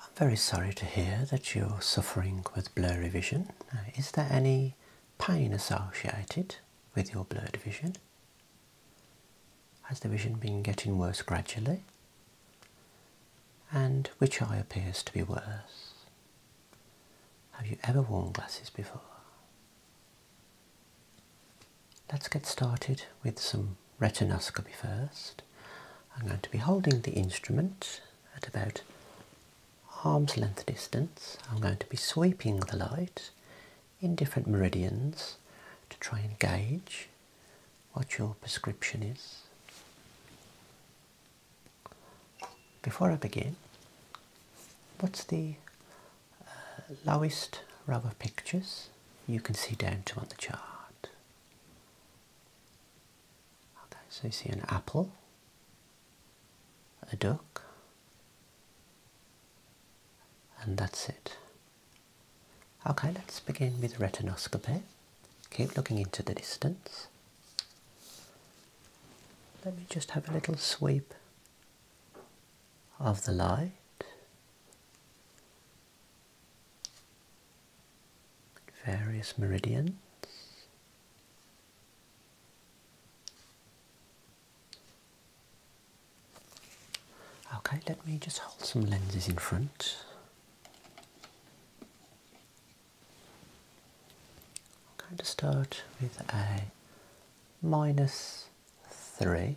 I'm very sorry to hear that you're suffering with blurry vision. Uh, is there any pain associated with your blurred vision? Has the vision been getting worse gradually? And which eye appears to be worse? Have you ever worn glasses before? Let's get started with some retinoscopy first. I'm going to be holding the instrument at about arm's length distance. I'm going to be sweeping the light in different meridians to try and gauge what your prescription is. Before I begin, what's the uh, lowest row of pictures you can see down to on the chart? Okay, so you see an apple, a duck, and that's it. Okay, let's begin with retinoscopy. Keep looking into the distance. Let me just have a little sweep of the light various meridians. Okay, let me just hold some lenses in front. I'm going to start with a minus 3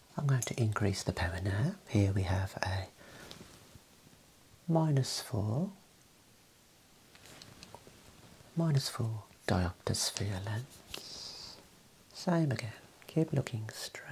I'm going to increase the power now. Here we have a minus 4, minus 4 diopter sphere lens. Same again, keep looking straight.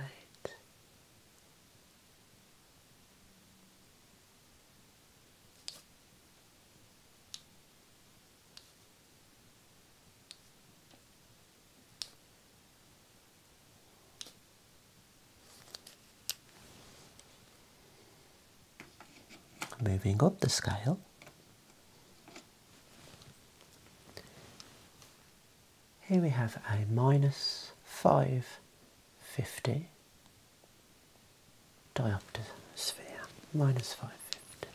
Moving up the scale, here we have a minus 550 diopter sphere, minus 550.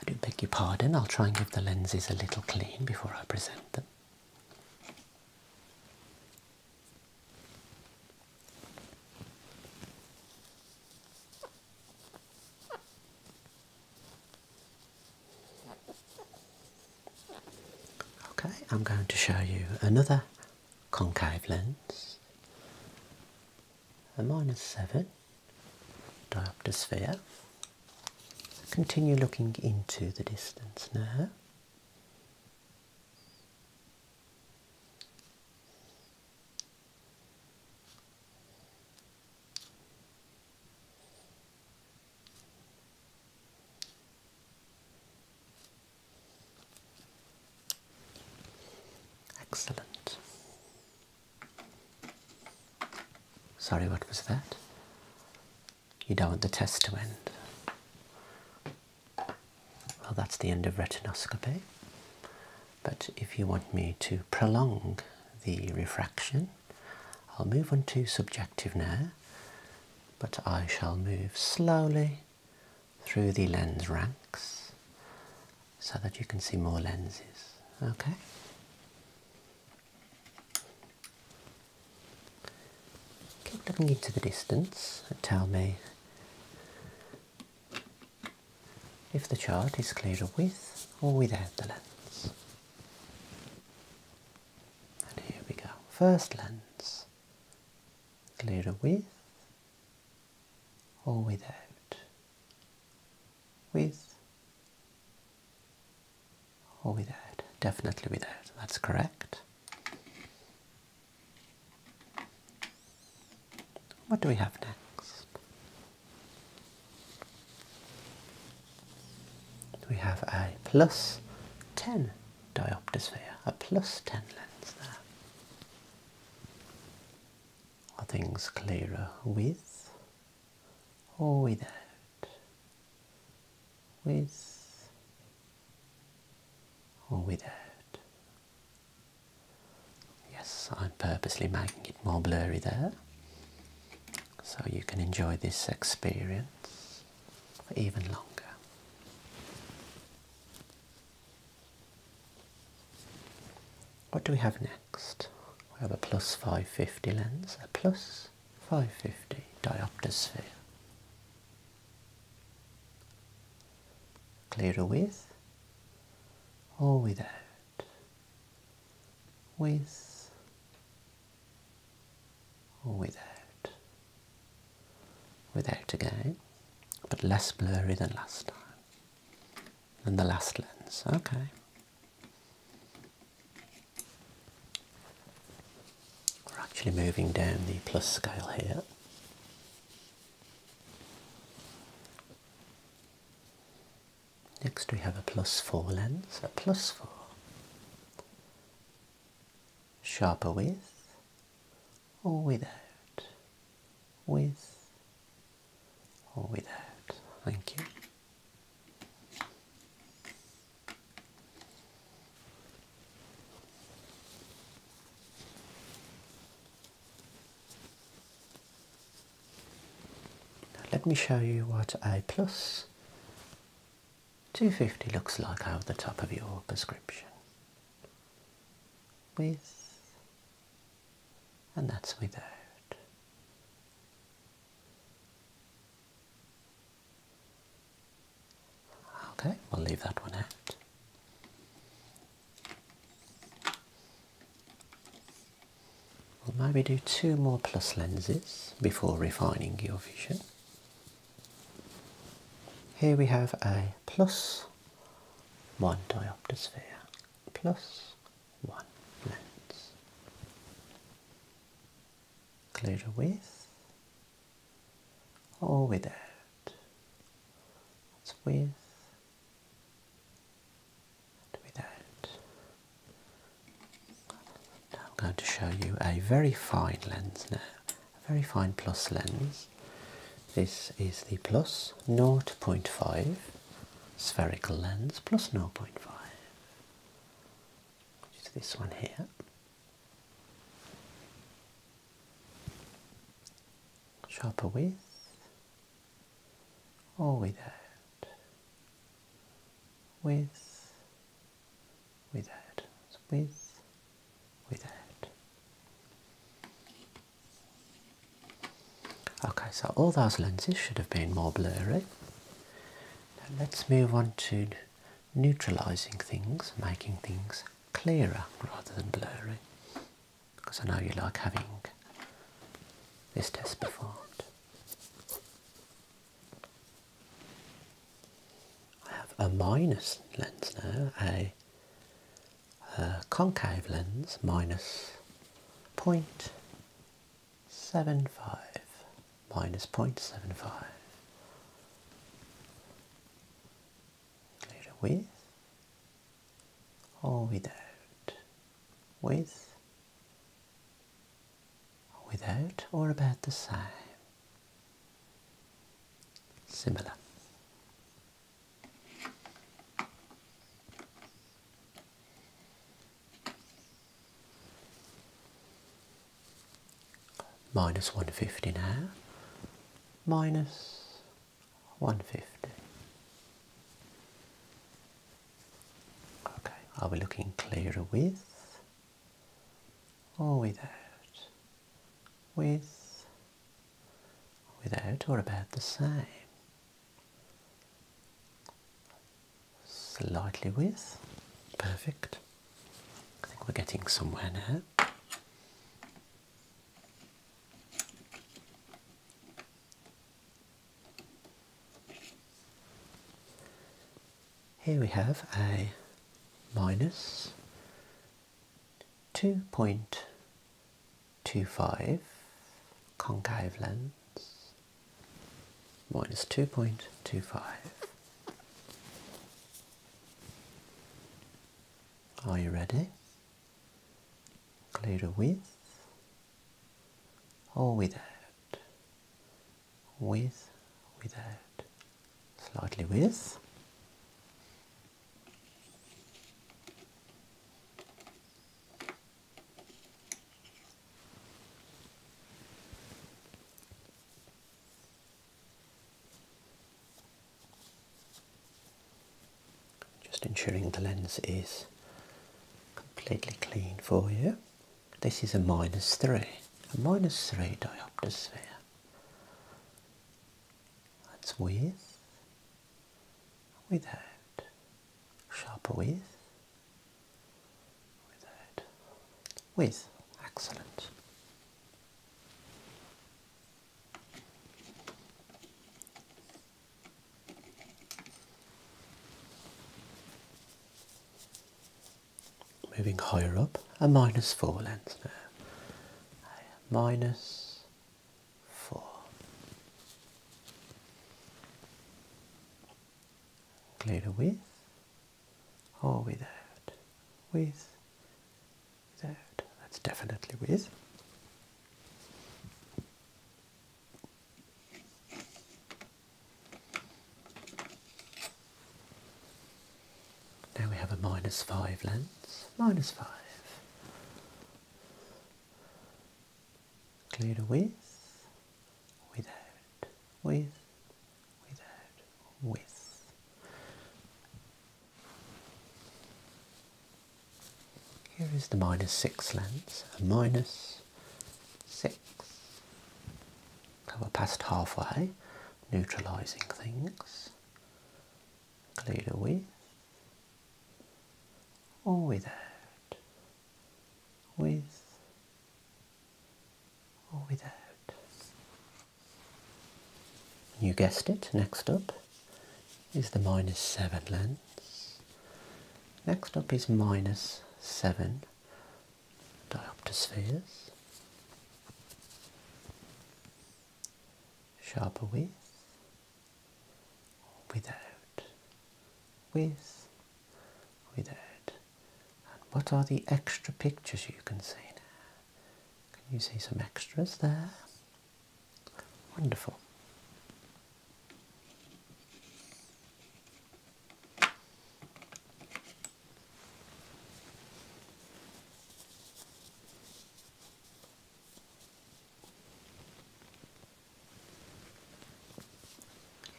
I do beg your pardon, I'll try and give the lenses a little clean before I present them. Okay, I'm going to show you another concave lens, a minus 7 diopter sphere. Continue looking into the distance now. Excellent. Sorry, what was that? You don't want the test to end. Well, that's the end of retinoscopy. But if you want me to prolong the refraction, I'll move on to subjective now, but I shall move slowly through the lens ranks so that you can see more lenses. Okay? Keep looking into the distance and tell me if the chart is clearer with or without the lens. And here we go. First lens. Glitter with or without. With or without. Definitely without. That's correct. What do we have next? We have a plus 10 diopter sphere, a plus 10 lens there. Are things clearer with or without? With or without? Yes, I'm purposely making it more blurry there so you can enjoy this experience for even longer. What do we have next? We have a plus 550 lens, a plus 550 diopter sphere. Clearer with or without? With without, without again, but less blurry than last time, than the last lens. Okay. We're actually moving down the plus scale here. Next we have a plus 4 lens, a plus 4. Sharper with or without? With or without? Thank you. let me show you what a plus 250 looks like over the top of your prescription with and that's without okay we'll leave that one out We'll maybe do two more plus lenses before refining your vision. Here we have a plus one diopter sphere, plus one lens. clear a with or without. with I'm going to show you a very fine lens now, a very fine plus lens. This is the plus 0.5 spherical lens, plus 0.5, which is this one here. Sharper width or there with, without, with, without. Okay, so all those lenses should have been more blurry. let's move on to neutralising things, making things clearer rather than blurry. Because I know you like having this test performed. I have a minus lens now, a, concave lens minus 0.75, minus 0.75. Include a with or without, with without or about the same. Similar. Minus 150 now. Minus 150. Okay, are we looking clearer with or without? With, without, or about the same? Slightly with, perfect. I think we're getting somewhere now. Here we have a minus 2.25 concave lens minus 2.25. Are you ready? Clear with or without with, without, slightly with. Just ensuring the lens is completely clean for you. This is a minus 3, a minus 3 diopter sphere. That's with, without, sharper with, without, with. Excellent. Moving higher up, a minus 4 lens now. 4. Clear with or without? With, without. That's definitely with. Now we have a minus 5 lens, minus 5. Clear with, without, with, without, with. Here is the minus 6 lens, a minus six. Cover past halfway, neutralising things. Clear with or without. With or without. You guessed it, next up is the minus 7 lens. Next up is minus 7 dioptospheres, sharper with without, with, without. And what are the extra pictures you can see now? Can you see some extras there? Wonderful.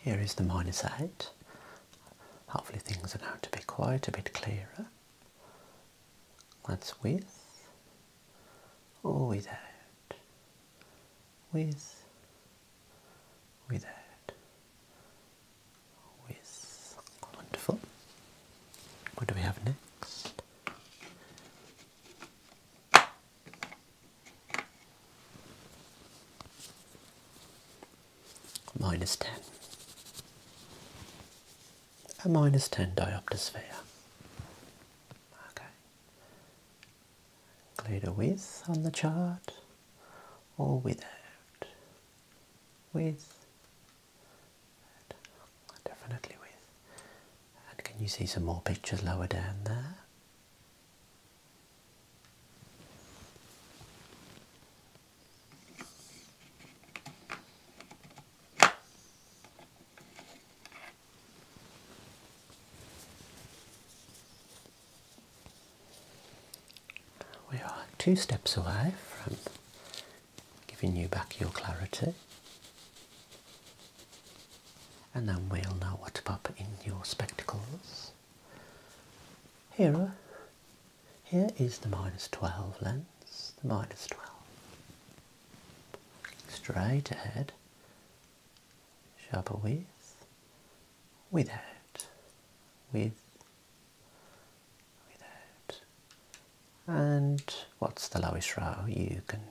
Here is the minus 8. Hopefully things are now to be quite a bit clearer. That's with or without. With with that. With wonderful. What do we have next? Minus ten. A minus ten diopter sphere. Okay. Glider width on the chart or without. With. definitely with. can you see some more pictures lower down there? We are two steps away from giving you back your clarity, and then we'll know what to pop in your spectacles. Here, here is the minus 12 lens, the minus 12. Straight ahead, sharper width, without, with, without. And what's the lowest row you can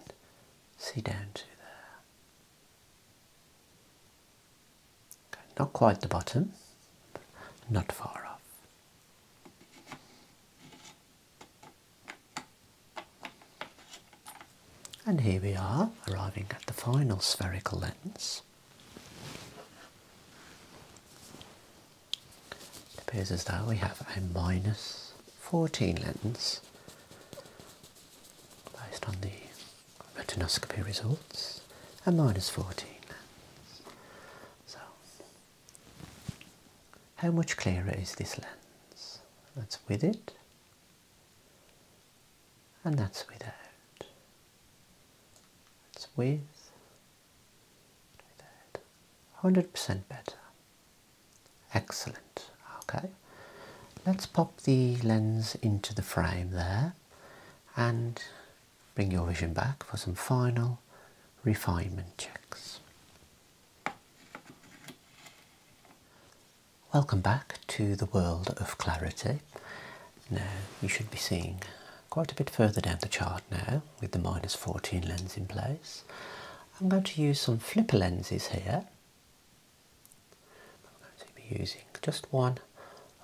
see down to there? not quite the bottom, not far off. And here we are, arriving at the final spherical lens. It appears as though we have a minus 14 lens based on the retinoscopy results, a minus 14 So, how much clearer is this lens? That's with it and that's without. That's with, without. 100% better. Excellent. Okay. Let's pop the lens into the frame there and bring your vision back for some final refinement checks. Welcome back to the world of clarity. Now you should be seeing quite a bit further down the chart now with the minus 14 lens in place. I'm going to use some flipper lenses here. I'm going to be using just one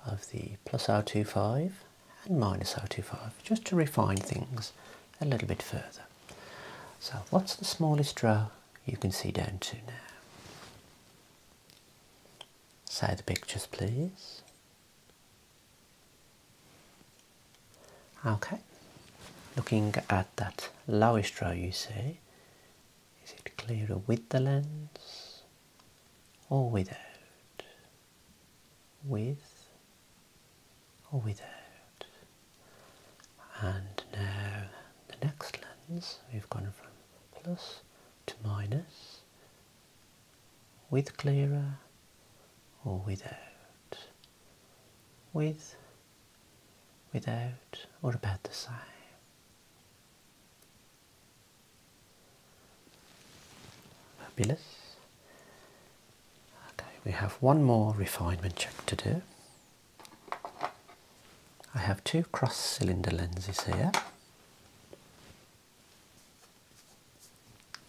of the plus 025 and minus 025 just to refine things a little bit further. So what's the smallest draw you can see down to now? Side pictures, please. Okay, looking at that lowish row you see, is it clearer with the lens or without? With or without? And now the next lens, we've gone from plus to minus with clearer or without with without or about the same fabulous okay we have one more refinement check to do I have two cross cylinder lenses here.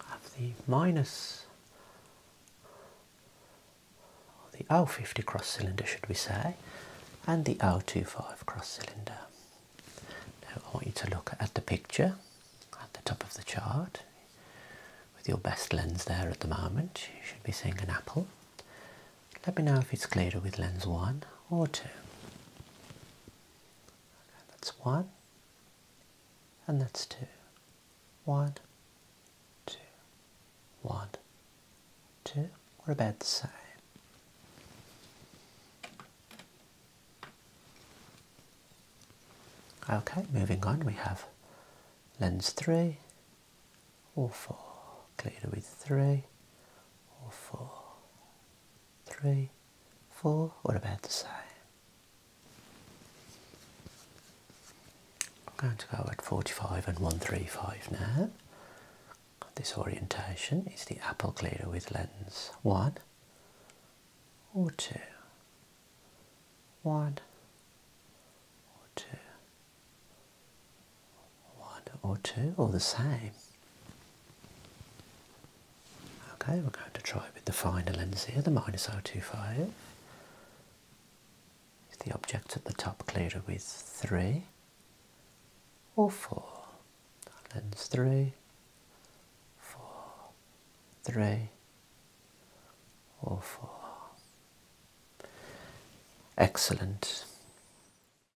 I have the minus the O50 cross cylinder should we say and the O25 cross cylinder. Now I want you to look at the picture at the top of the chart with your best lens there at the moment. You should be seeing an apple let me know if it's clearer with lens one or two. Okay, that's one, and that's two. One, two, one, two. We're about the same. Okay, moving on, we have lens 3 or 4, clearer with 3 or 4 three, four. What about the same. I'm going to go at 45 and 135 now. This orientation is the apple cleaner with lens one or two. One or two one or two, all the same. Okay, we're going to try with the finer lens here, the minus 025. Is the object at the top clearer with 3 or 4? Lens three, four, three or 4. Excellent.